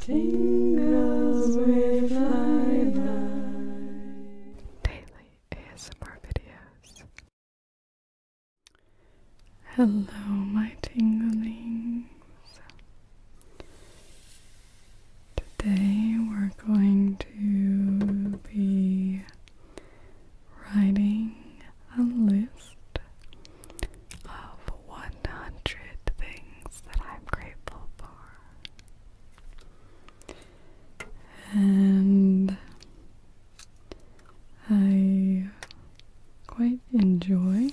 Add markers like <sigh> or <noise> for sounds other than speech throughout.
Tingles with lilac daily ASMR videos. Hello, my tinglings. Today we're going to be writing a list of 100 things that I'm grateful for and I quite enjoy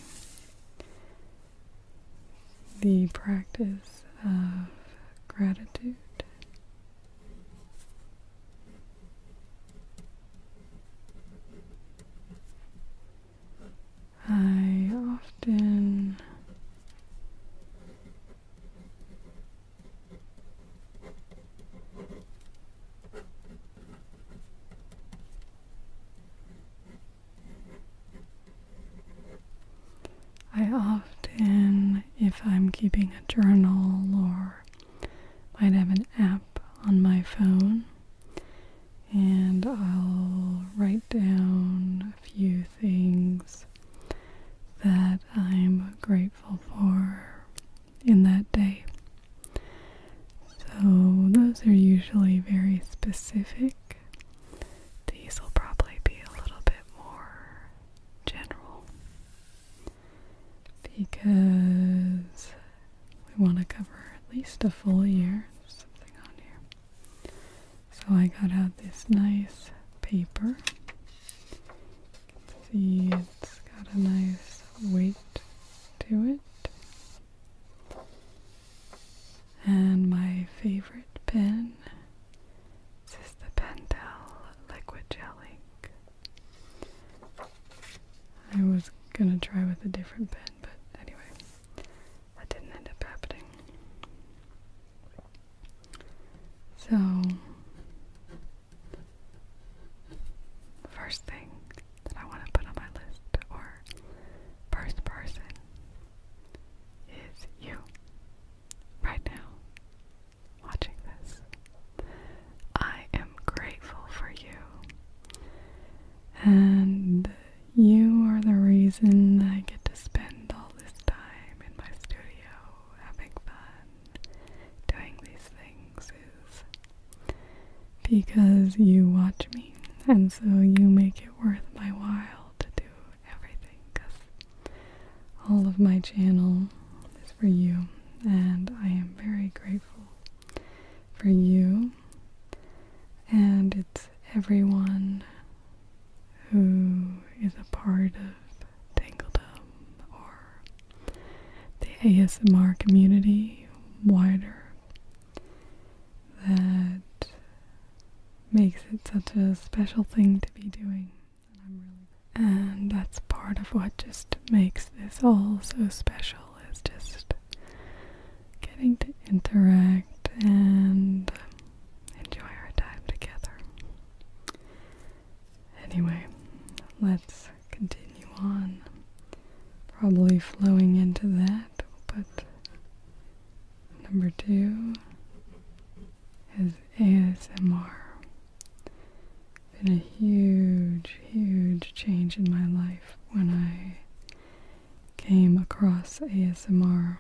the practice of gratitude. I often I often, if I'm keeping a journal or might have an app on my phone, and I'll write down a few things that I'm grateful for in that day. So, those are usually very specific. These will probably be a little bit more general because we want to cover at least a full year. So I got out this nice paper. See, it's got a nice weight to it. And my favorite pen this is the Pentel Liquid Gel Ink. I was gonna try with a different pen, but anyway, that didn't end up happening. So, first thing that I want to put on my list, or first person, is you right now watching this. I am grateful for you, and you are the reason I get to spend all this time in my studio having fun doing these things is because you watch me, and so you make it worth my while to do everything because all of my channel is for you, and I am very grateful for you. And it's everyone who is a part of Tangledom or the ASMR community wider that makes it such a special thing to be doing. And that's part of what just makes this all so special is just getting to interact and enjoy our time together. Anyway, let's continue on. Probably flowing into that, but number two is ASMR. Been a huge, huge change in my life when I came across ASMR.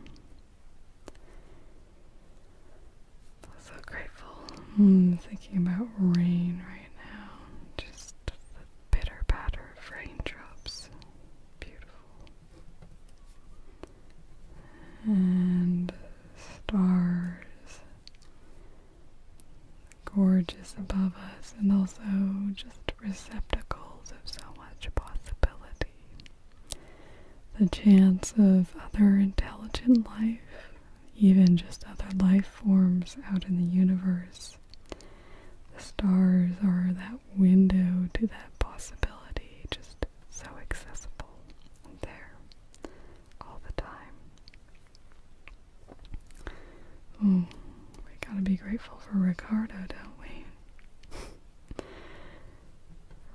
So grateful. I'm thinking about rain right now. Just the bitter patter of raindrops. Beautiful. And stars. Gorgeous above us, and also just receptacles of so much possibility the chance of other intelligent life, even just other life forms out in the universe. The stars are that window to that possibility, just so accessible and there all the time. Hmm, we gotta be grateful for Ricardo, don't we? <laughs>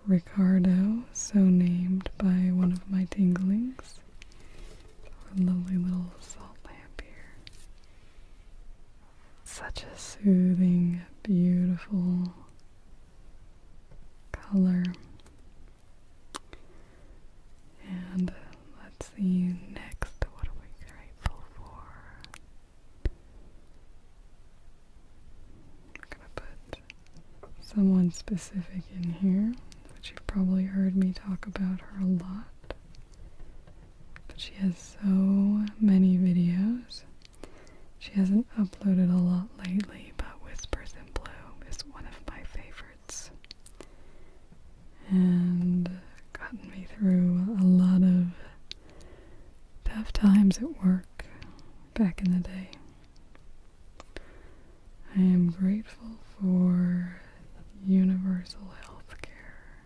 Ricardo, so named by one of my tinglings. A lovely little salt lamp here. Such a soothing, beautiful color. And let's see next what are we grateful for? I'm gonna put someone specific in here, but you've probably heard me talk about her a lot. But she has so many videos. She hasn't uploaded a lot lately, but Whispers in Blue is one of my favorites. And gotten me through a lot of tough times at work back in the day. I am grateful for universal health care.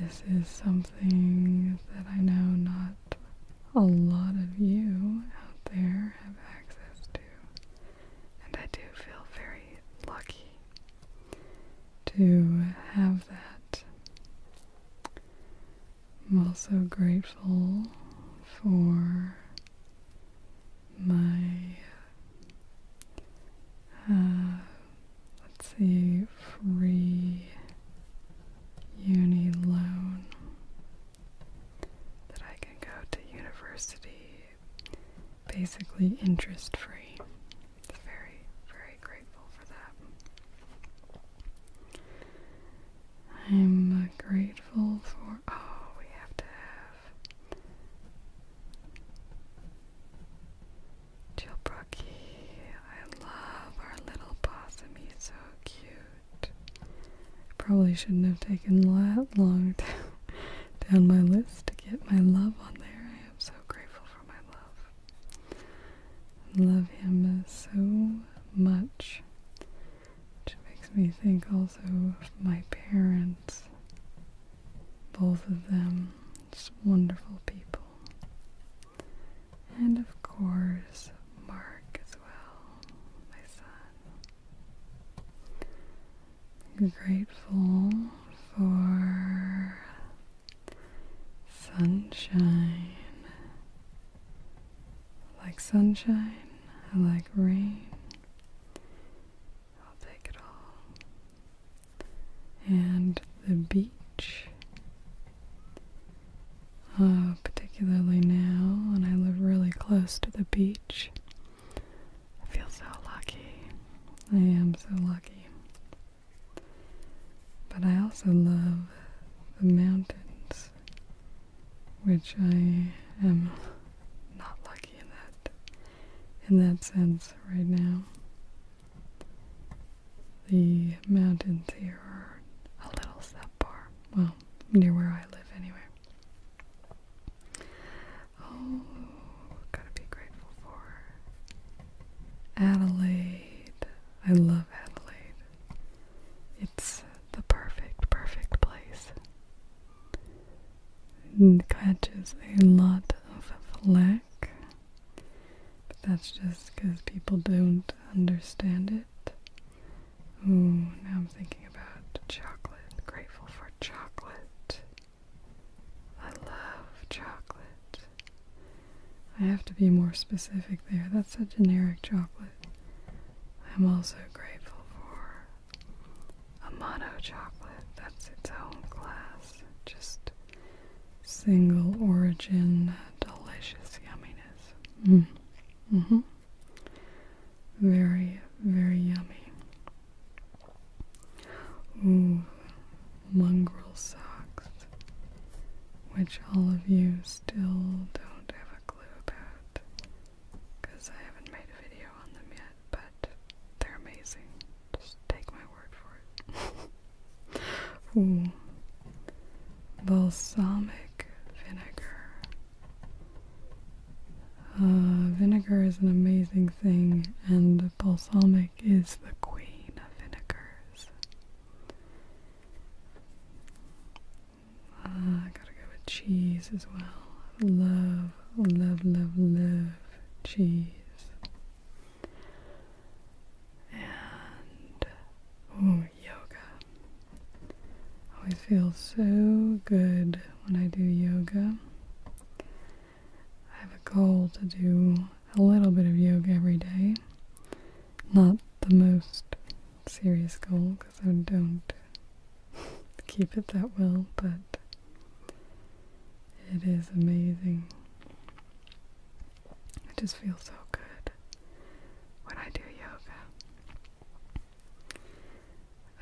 This is something that I know not a lot of you out there have access to, and I do feel very lucky to have that. I'm also grateful for my, uh, let's see, free uni loan that I can go to university basically interest free. Very, very grateful for that. I'm grateful for. Oh, we have to have. Jill I love our little possum. He's so cute. Probably shouldn't have taken that long <laughs> down my list to get my love on there. I am so grateful for my love love him so much. Which makes me think also of my parents. Both of them, just wonderful people. And of course, Mark as well, my son. grateful for sunshine I like sunshine. I like rain. I'll take it all. And the beach. Uh, particularly now, and I live really close to the beach. I feel so lucky. I am so lucky. But I also love the mountains which I am not lucky in that in that sense right now. The mountains here are a little subpar. Well, near where I live anyway. Oh, gotta be grateful for Adelaide. I love Adelaide. It's the perfect, perfect place. It catches a lot of flack, but that's just because people don't understand it. Ooh, now I'm thinking about chocolate. Grateful for chocolate. I love chocolate. I have to be more specific there. That's a generic chocolate. I'm also grateful for a mono chocolate. That's its own class. Just single origin, delicious yumminess. Mm. hmm Very, very yummy. Ooh, mongrel socks, which all of you still don't have a about because I haven't made a video on them yet, but they're amazing. Just take my word for it. <laughs> Ooh. Balsamic vinegar. Uh, vinegar is an amazing thing, and balsamic is the queen of vinegars. Uh, I gotta go with cheese as well. Love, love, love, love cheese. And oh, yoga. Always feel so good when I do yoga. I have a goal to do a little bit of yoga every day not the most serious goal because I don't keep it that well, but it is amazing. It just feels so good when I do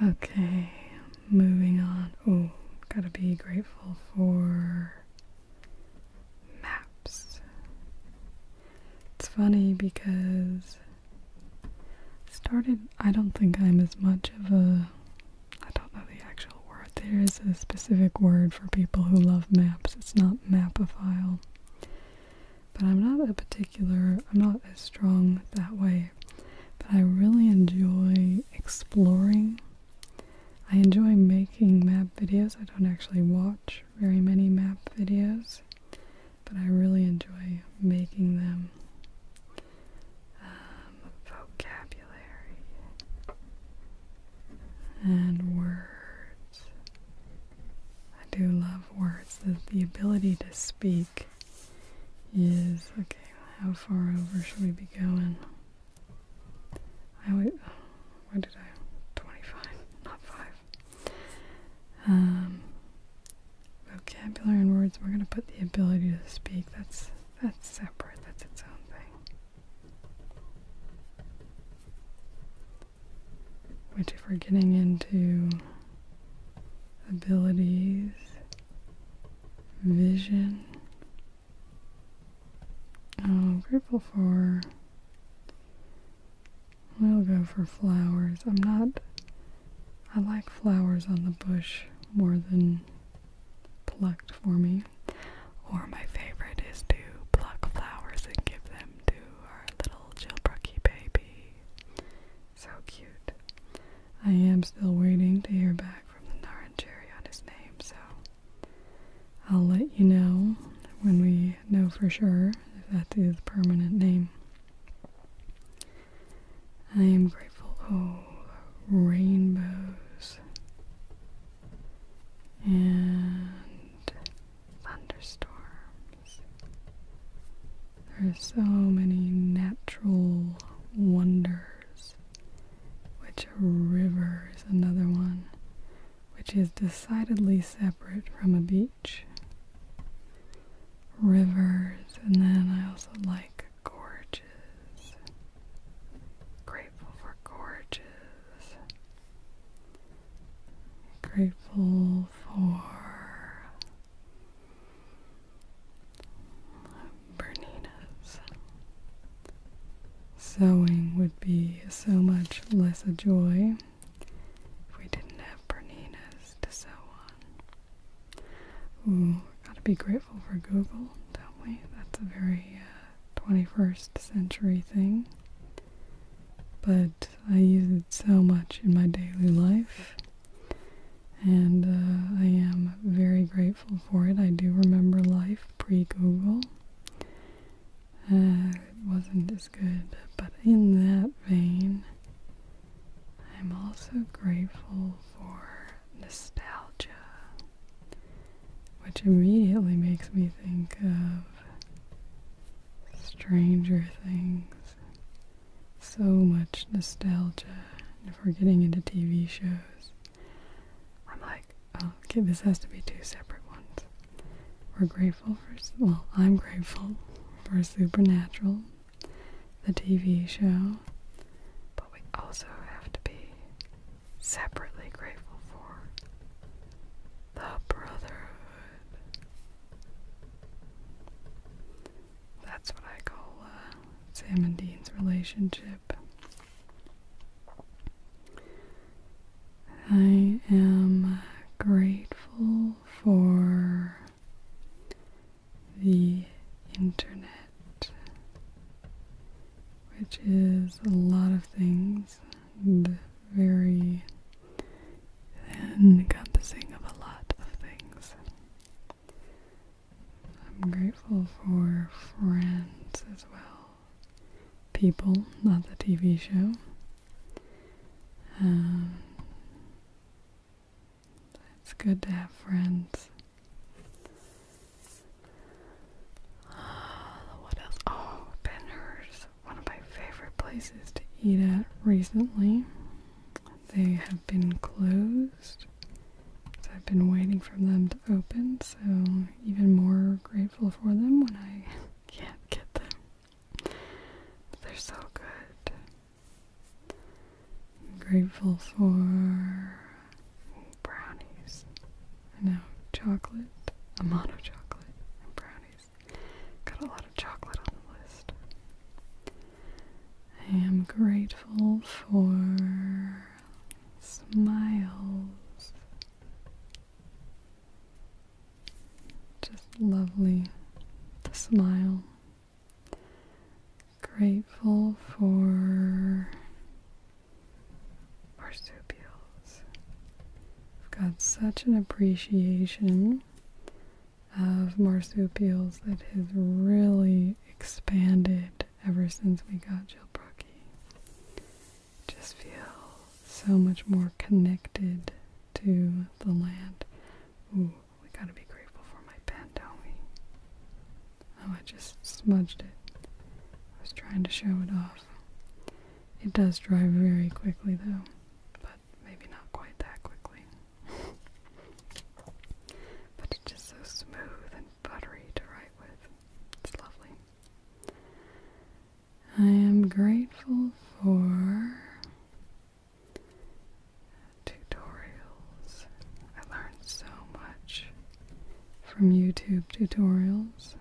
yoga. Okay, moving on. Oh, gotta be grateful for maps. It's funny because started I don't think I'm as much of a I don't know the actual word. There is a specific word for people who love maps. It's not mapophile. But I'm not a particular I'm not as strong that way. But I really enjoy exploring. I enjoy making map videos. I don't actually watch very many map videos but I really enjoy making them. Um, vocabulary and words. I do love words. The, the ability to speak is okay. How far over should we be going? I would. What did I? Twenty-five, not five. Um, vocabulary and words, we're going to put the ability to speak. That's that's separate. That's its own thing. Which, if we're getting into abilities, vision, I'm oh, grateful for We'll go for flowers. I'm not, I like flowers on the bush more than plucked for me. Or my favorite is to pluck flowers and give them to our little Jailbrookie baby. So cute. I am still waiting to hear back from the Naran on his name, so I'll let you know when we we know for sure that's his permanent name. I am grateful. Oh, rainbows and thunderstorms. There are so many natural wonders, which river is another one, which is decidedly separate from a beach rivers, and then I also like gorges. Grateful for gorges. Grateful for Berninas. Sewing would be so much less a joy if we didn't have Berninas to sew on. we've gotta be grateful for Google, don't we? That's a very 21st uh, century thing. But I use it so much in my daily life, and uh, I am very grateful for it. I do remember life pre Google. Uh, it wasn't as good, but in that vein, I'm also grateful for nostalgia, which immediately makes me think of Stranger Things. So much nostalgia. if we're getting into TV shows, I'm like, oh, okay, this has to be two separate ones. We're grateful well, I'm grateful for Supernatural, the TV show, but we also have to be separately grateful for the Brotherhood. That's what I call uh, Sam and Dean's relationship. I am grateful for the internet, which is a lot of things and very encompassing of a lot of things. I'm grateful for friends as well, people, not the TV show. Um, it's good to have friends. <sighs> what else? Oh, Benner's. One of my favorite places to eat at recently. They have been closed. So I've been waiting for them to open, so even more grateful for them when I <laughs> can't get them. They're so good. I'm grateful for brownies. I know chocolate, a mono chocolate, and brownies. Got a lot of chocolate on the list. I am grateful for smiles. Just lovely to smile Grateful for marsupials. I've got such an appreciation of marsupials that has really expanded ever since we got Jill Just feel so much more connected to the land we gotta be grateful for my pen, don't we? Oh, I just smudged it. I was trying to show it off. It does dry very quickly, though, but maybe not quite that quickly. <laughs> but it's just so smooth and buttery to write with. It's lovely. I am grateful for tutorials. I learned so much from YouTube tutorials.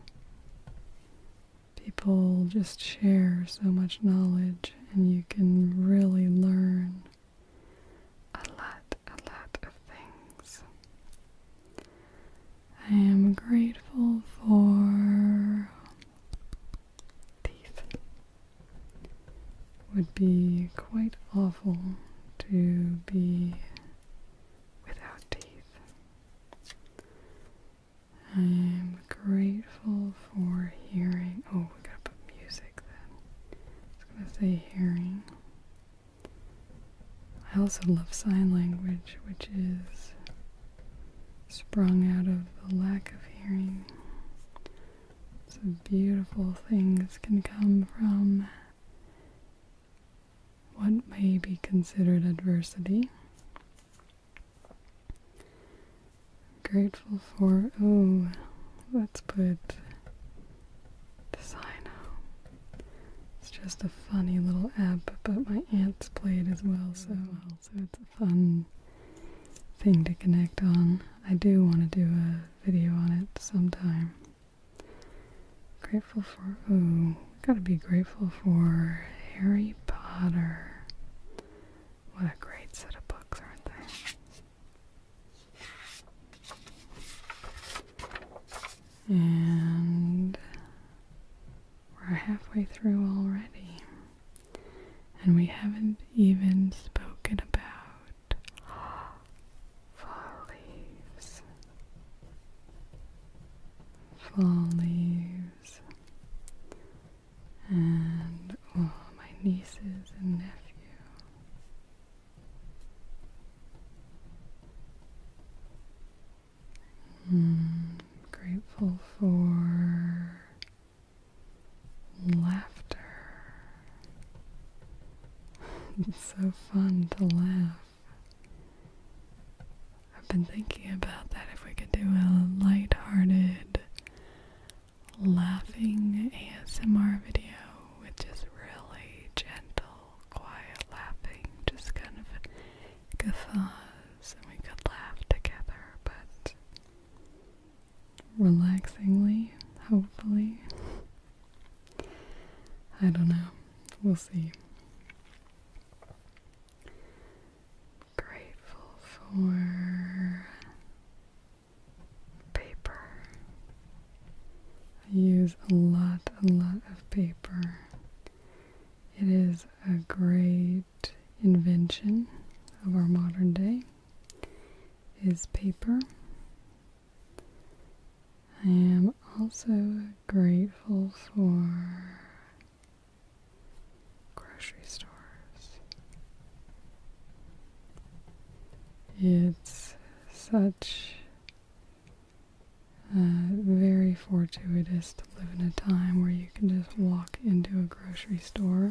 People just share so much knowledge, and you can really learn a lot, a lot of things. I am grateful for teeth would be quite awful to be without teeth. I am grateful for hearing. Oh, we gotta put music then. It's gonna say hearing. I also love sign language, which is sprung out of the lack of hearing. Some beautiful things can come from what may be considered adversity. Grateful for, oh, let's put Desino. It's just a funny little app, but my aunts played as well, so, so it's a fun thing to connect on. I do want to do a video on it sometime. Grateful for, gotta be grateful for Harry Potter. What a great set of books, aren't they? And we're halfway through already. And we haven't even spoken about fall leaves. Fall leaves. And all oh, my nieces and nephews. am hmm, grateful for Laughter. <laughs> it's so fun to laugh. I've been thinking about that if we could do a light-hearted laughing ASMR video with just really gentle, quiet laughing, just kind of guffaws, and we could laugh together, but relaxingly, hopefully. I don't know. We'll see. Grateful for paper. I use a lot, a lot of paper. It is a great invention of our modern day is paper. I am also grateful for grocery stores. It's such a very fortuitous to live in a time where you can just walk into a grocery store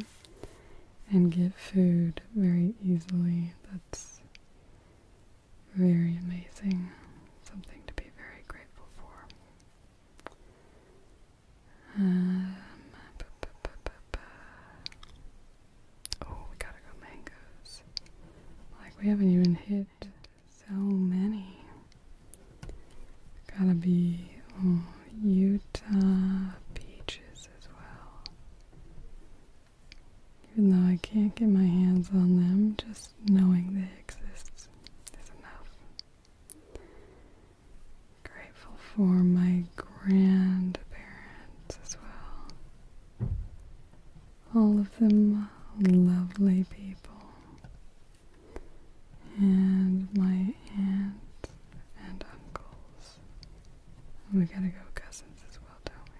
and get food very easily. That's very amazing. Something to be very grateful for. Um, oh, we gotta go mangoes. Like, we haven't even hit so many. Gotta be oh, Utah beaches as well. Even though I can't get my hands on them, just knowing they exist is enough. Grateful for my grandparents as well. All of them lovely people. And my aunt and uncles. We gotta go Cousins as well, don't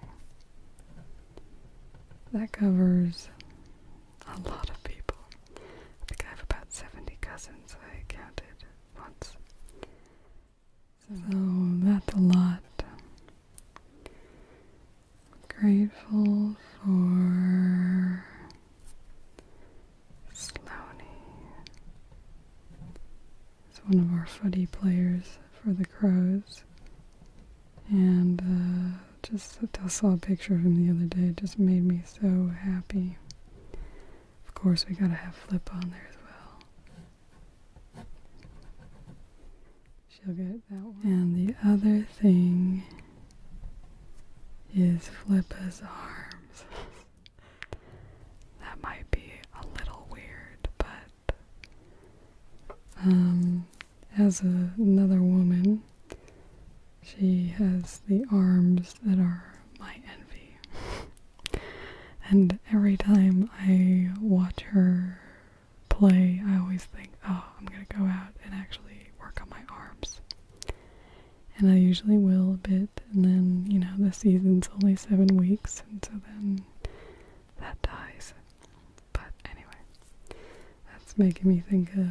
we? That covers a lot of people. I think I have about 70 cousins I counted once. So that's a lot. Grateful for Sloaney. It's one of our footy players for the Crows. And uh, just I saw a picture of him the other day. just made me so happy. Of course, we gotta have Flip on there as well. She'll get that one. And the other thing is Flippa's arms. <laughs> That might be a little weird, but um, as another woman, she has the arms that are my envy. and every time I watch her play, I always think, oh, I'm gonna go out and actually work on my arms. And I usually will a bit, and then, you know, the season's only seven weeks, and so then that dies. But anyway, that's making me think of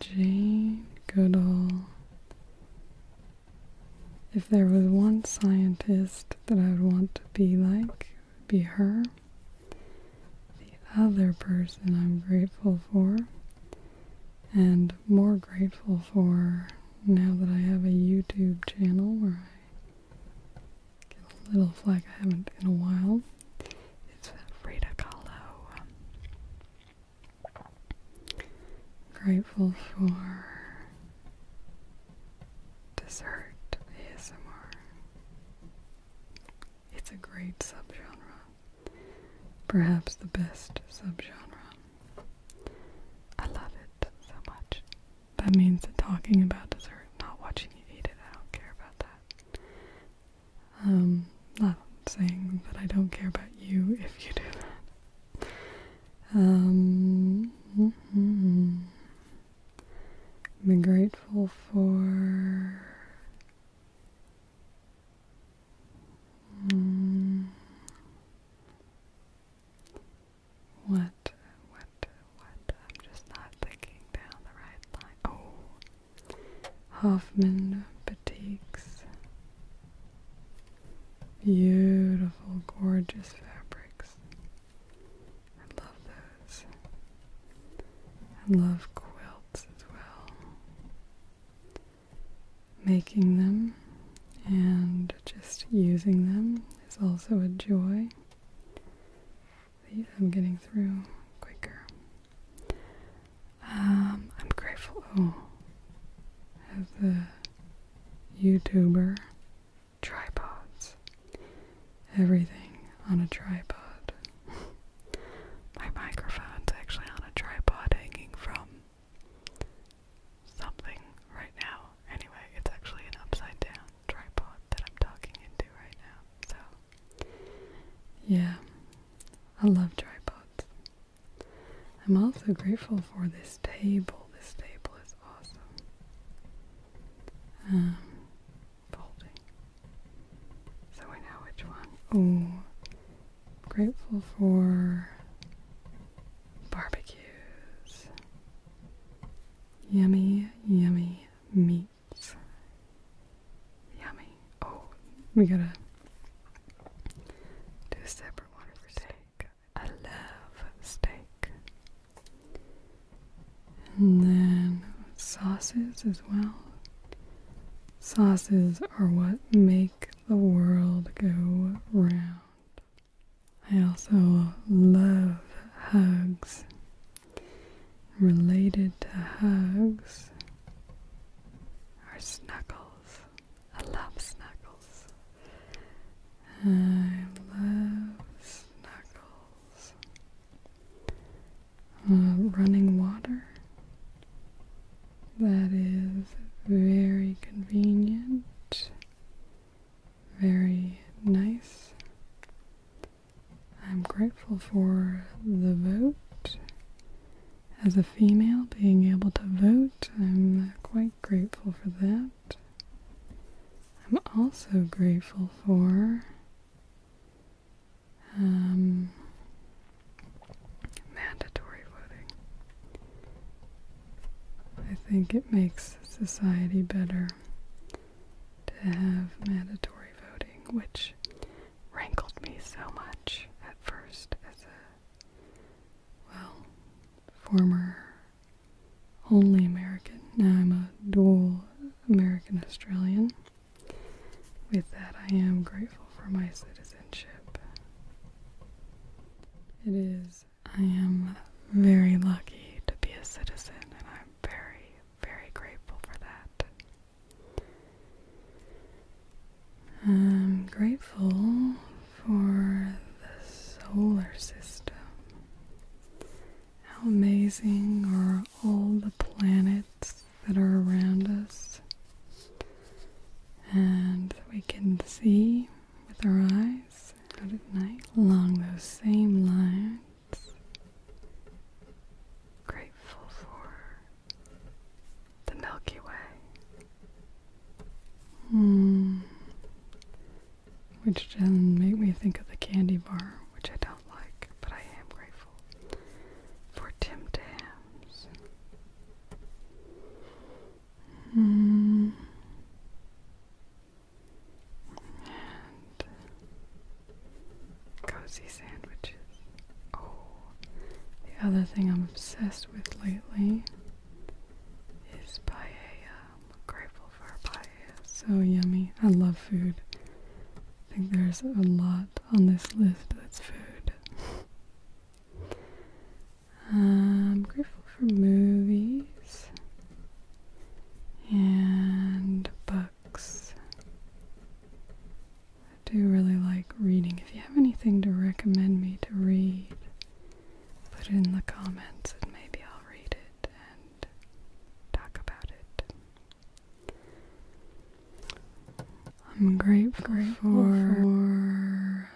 Jane Goodall. If there was one scientist that I would want to be like, be her. The other person I'm grateful for, and more grateful for now that I have a YouTube channel where I get a little flag I haven't in a while. It's Frida grateful for dessert ASMR. It's a great subgenre. Perhaps the best subgenre. I love it so much. That means that talking about dessert, not watching you eat it, I don't care about that. Um, not saying that I don't care about you if you do that. I'm um, mm-hmm. grateful for. Mm, what? What? What? I'm just not thinking down the right line. Oh, Hoffman Batiks. Beautiful, gorgeous fabrics. I love those. I love quilts as well. Making them and just using them is also a joy I'm getting through quicker. Um, I'm grateful oh, as YouTuber tripods. Everything on a tripod. <laughs> My microphone's actually on a tripod hanging from something right now. Anyway, it's actually an upside down tripod that I'm talking into right now. So, yeah, I love tripods. I'm also grateful for this table. This table is awesome. Um, folding. So I know which one. Oh, grateful for barbecues, yummy, yummy meats. Yummy. Oh, we gotta do a separate one for steak. I love steak. And then sauces as well. Sauces are what make the world go round. I also love hugs. Related to hugs are snuggles. I love snuggles. I love snuggles. Uh, running water. That is very convenient very nice. I'm grateful for the vote. As a female, being able to vote, I'm quite grateful for that. I'm also grateful for um, mandatory voting. I think it makes society better to have mandatory voting, which rankled me so much at first as a, well, former only American. Now I'm a dual American Australian. With that, I am grateful for my citizenship. It is I am very lucky to be a citizen, and I'm very, very grateful for that. I'm grateful for the solar system. How amazing are all the planets that are around us and we can see with our eyes eyes night along those same lines. Grateful for the Milky Way. Hmm. Which then made me think of the candy bar, which I don't like, but I am grateful for Tim Tams. Hmm and cozy sandwiches. Oh, the other thing I'm obsessed with lately is paella. grateful for paella. So yummy. I love food. I think there's a lot on this list that's food. <laughs> I'm grateful for movies and books. I do really like reading. If you have anything to recommend me to read, put it in the comments and maybe I'll read it and talk about it. I'm grateful, for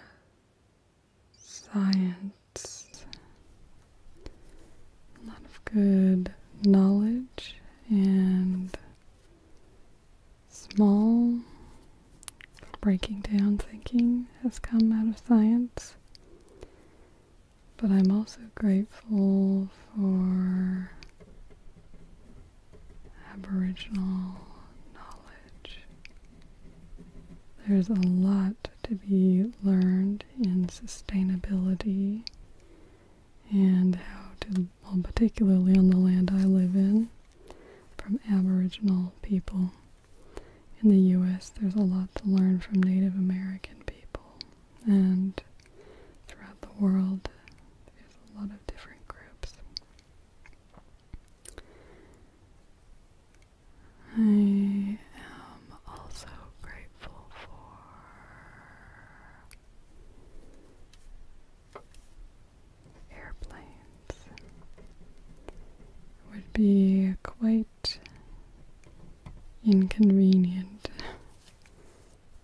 science, a lot of good knowledge and small breaking down thinking has come out of science. But I'm also grateful for Aboriginal knowledge. There's a lot to be learned in sustainability and how to, well, particularly on the land I live in, from Aboriginal people. In the US, there's a lot to learn from Native American people, and throughout the world, there's a lot of different groups. I am also grateful for airplanes. It would be quite inconvenient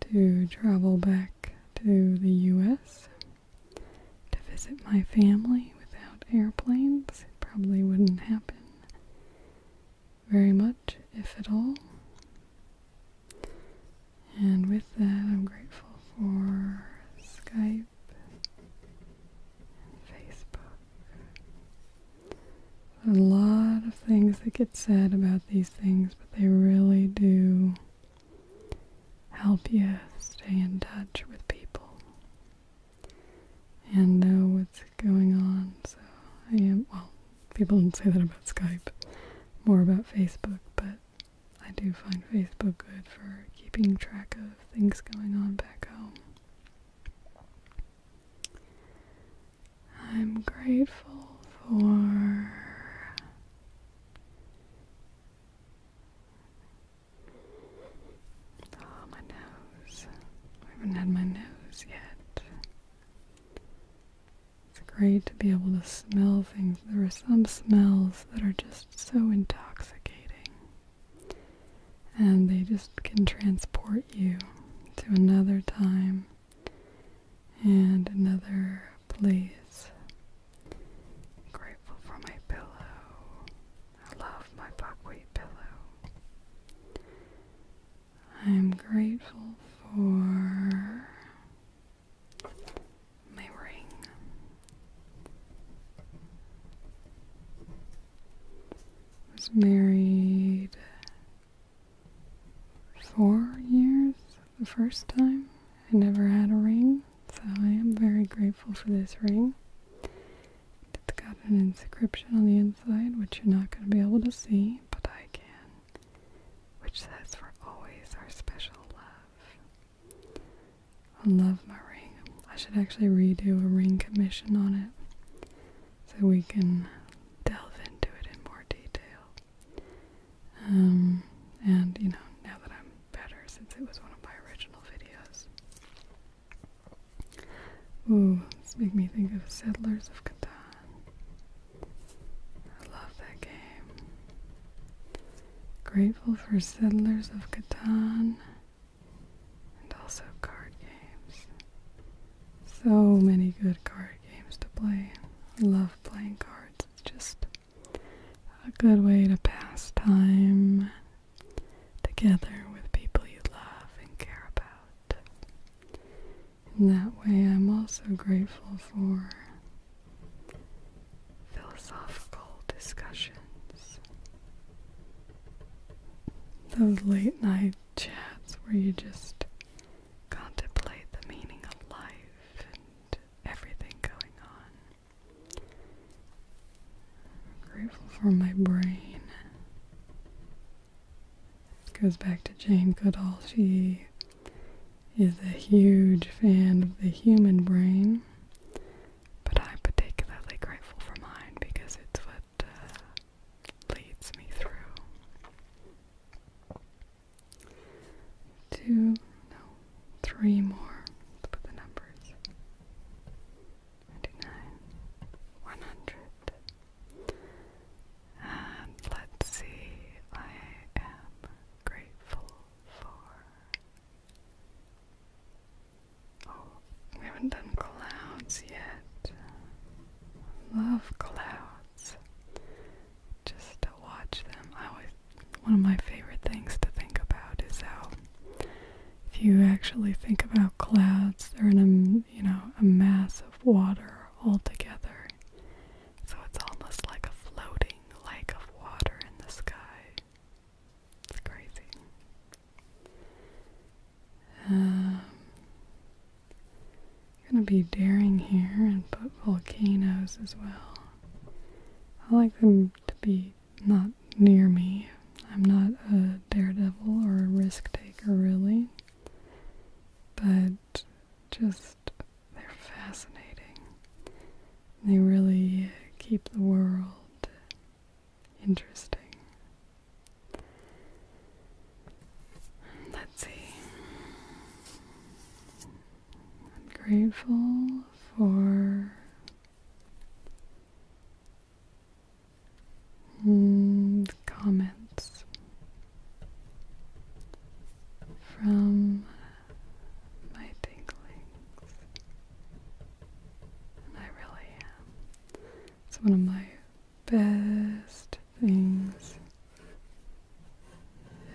to travel back to the US to visit my family without airplanes. It probably wouldn't happen very much, if at all. And with that, I'm grateful for Skype and Facebook. A lot of things that get said about these things, but they really do help you stay in touch with people and know what's going on. So I am, well, people don't say that about Skype, more about Facebook, but I do find Facebook good for keeping track of things going on back home. I'm grateful for Oh, my nose. I haven't had my nose yet. It's great to be able to smell things. There are some smells that are just so intoxicating. And they just can transport you to another time and another place. grateful for my pillow. I love my buckwheat pillow. I'm grateful for my ring. I was married four years the first time. I never had a ring, so I am very grateful for this ring. It's got an inscription on the inside, which you're not going to be able to see, but I can, which says, For always our special love. I love my ring. I should actually redo a ring commission on it so we can delve into it in more detail. Um, and you know, now that I'm better, since it was one of my original videos, Ooh, this makes me think of Settlers of Catan. I love that game. Grateful for Settlers of Catan and also card games. So many good card games to play. I love playing cards. It's just a good way to pass time together with people you love and care about. In that way, I'm also grateful for philosophical discussions. Those late night chats where you just contemplate the meaning of life and everything going on. grateful for my brain goes back to Jane Goodall. She is a huge fan of the human brain, but I'm particularly grateful for mine because it's what uh, leads me through. Two, no, three more. put the numbers. 99, 100, and let's see, I am grateful for. Oh, we haven't done clouds yet. Love clouds. Just to watch them. I always. One of my favorite things to think about is how, if you actually think about clouds, they're in a you know a mass of of water altogether. So it's almost like a floating lake of water in the sky. It's crazy. Um, gonna be daring here and put volcanoes as well. I like them to be not near me. I'm not a daredevil or a risk taker, really. But just, they're fascinating. They really keep the world interesting. Let's see. grateful for Hmm, comments from my tinklings. I really am. It's one of my best things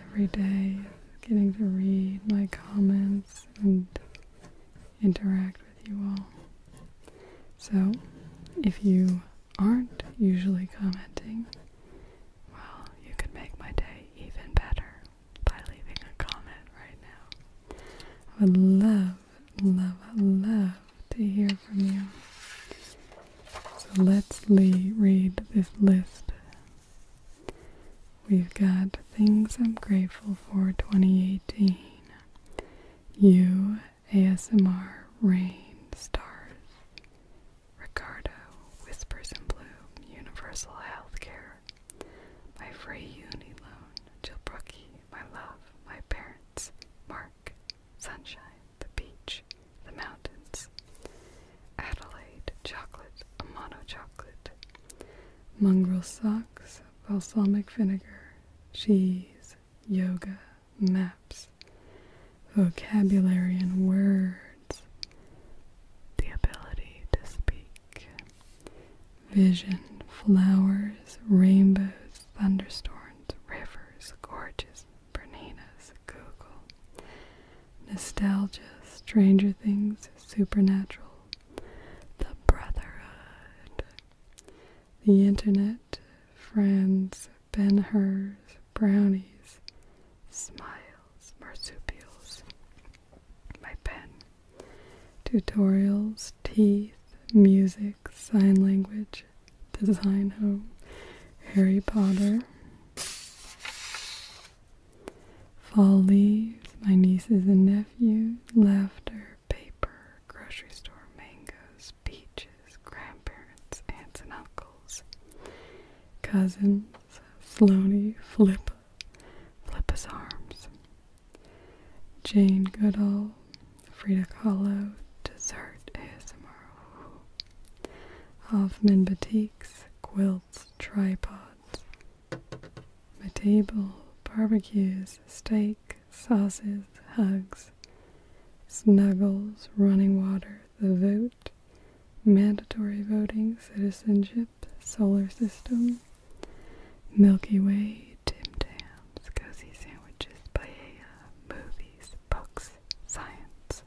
every day getting to read my comments and interact with you all. So, if you aren't usually commenting, well, you could make my day even better by leaving a comment right now. I would love, love, love to hear from you. So let's le read this list. We've got things I'm grateful for 2018. You ASMR Rain Stars Ricardo Whispers in blue Universal Healthcare My Free Uni Loan Jill Brookie My Love My Parents Mark Sunshine The Beach The Mountains Adelaide Chocolate A Mono Chocolate Mongrel Socks Balsamic Vinegar Cheese Yoga maps, vocabulary, and words, the ability to speak, vision, flowers, rainbows, thunderstorms, rivers, gorges, Berninas, Google, nostalgia, Stranger Things, Supernatural, The Brotherhood, The Internet, friends, Ben Hurs, brownies, smiles, marsupials, my pen, tutorials, teeth, music, sign language, design home, Harry Potter, fall leaves, my nieces and nephews, laughter, paper, grocery store, mangoes, beaches, grandparents, aunts and uncles, cousins, Sloaney, Flip, Flippa's arms, Jane Goodall, Frida Kahlo, Dessert ASMR, Hoffman Boutiques, Quilts, Tripods, my table, barbecues, steak, sauces, hugs, Snuggles, Running Water, The Vote, Mandatory Voting, Citizenship, Solar System, Milky Way, Tim Tams, Cozy Sandwiches, Paella, Movies, Books, Science,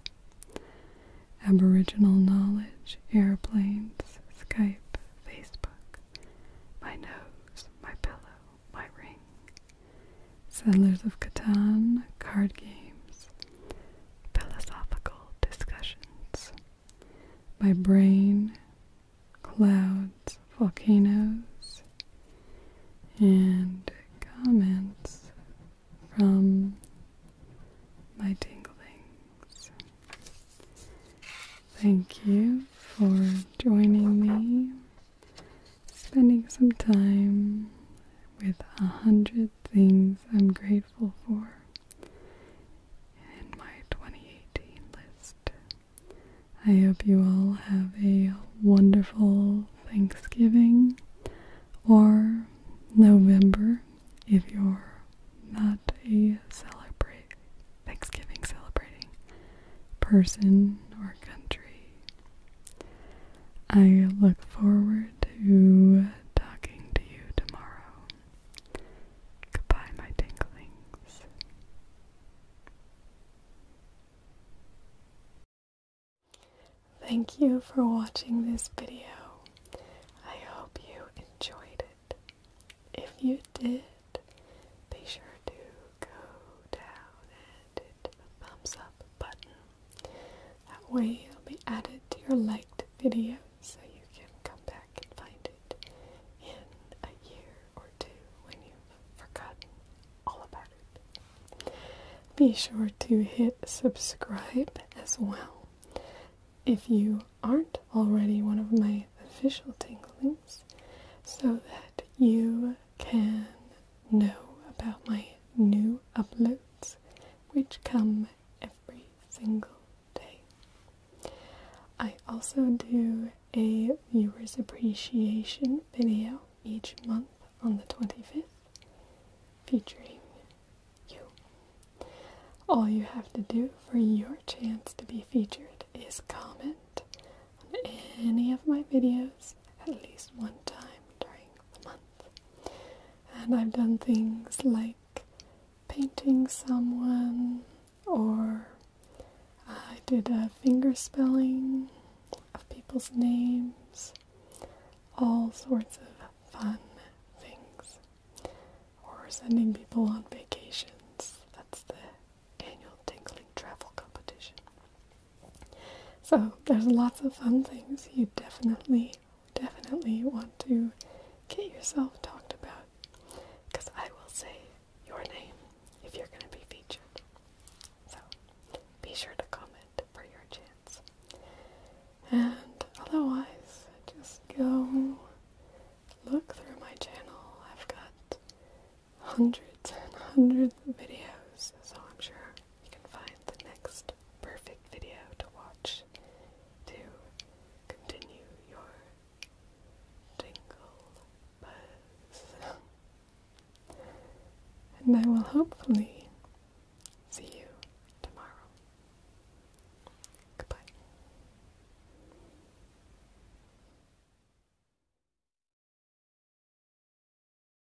Aboriginal Knowledge, Airplanes, Skype, Facebook, My Nose, My Pillow, my ring. Settlers of Catan, card games, philosophical discussions. My brain, clouds, volcanoes, and comments from my tinglings. Thank you for joining me spending some time with a hundred things I'm grateful for in my 2018 list. I hope you all have a wonderful Thanksgiving or November if you're not a Thanksgiving celebrating person or country. I look forward to talking to you tomorrow. Goodbye, my tinglings. Thank you for watching this video. I hope you enjoyed it. If you did, be sure to go down and hit the thumbs up button. That way it'll be added to your liked videos, so you can come back and find it in a year or two when you've forgotten all about it. Be sure to hit subscribe as well. If you aren't already one of my official tinglings, so that you can know about my new uploads, which come every single day. I also do a viewers appreciation video each month on the 25th featuring you. All you have to do for your chance to be featured is comment on any of my videos at least one time during month. And I've done things like painting someone, or I did a finger spelling of people's names, all sorts of fun things, or sending people on vacations. That's the annual tingling travel competition. So there's lots of fun things you definitely, definitely want to get yourself talked about. Because I will say your name if you're going to be featured. So be sure to comment for your chance. And otherwise, just go look through my channel. I've got hundreds and hundreds of videos, so I'm sure you can find the next perfect video to watch to continue your tingle buzz. And I will hopefully see you tomorrow. Goodbye.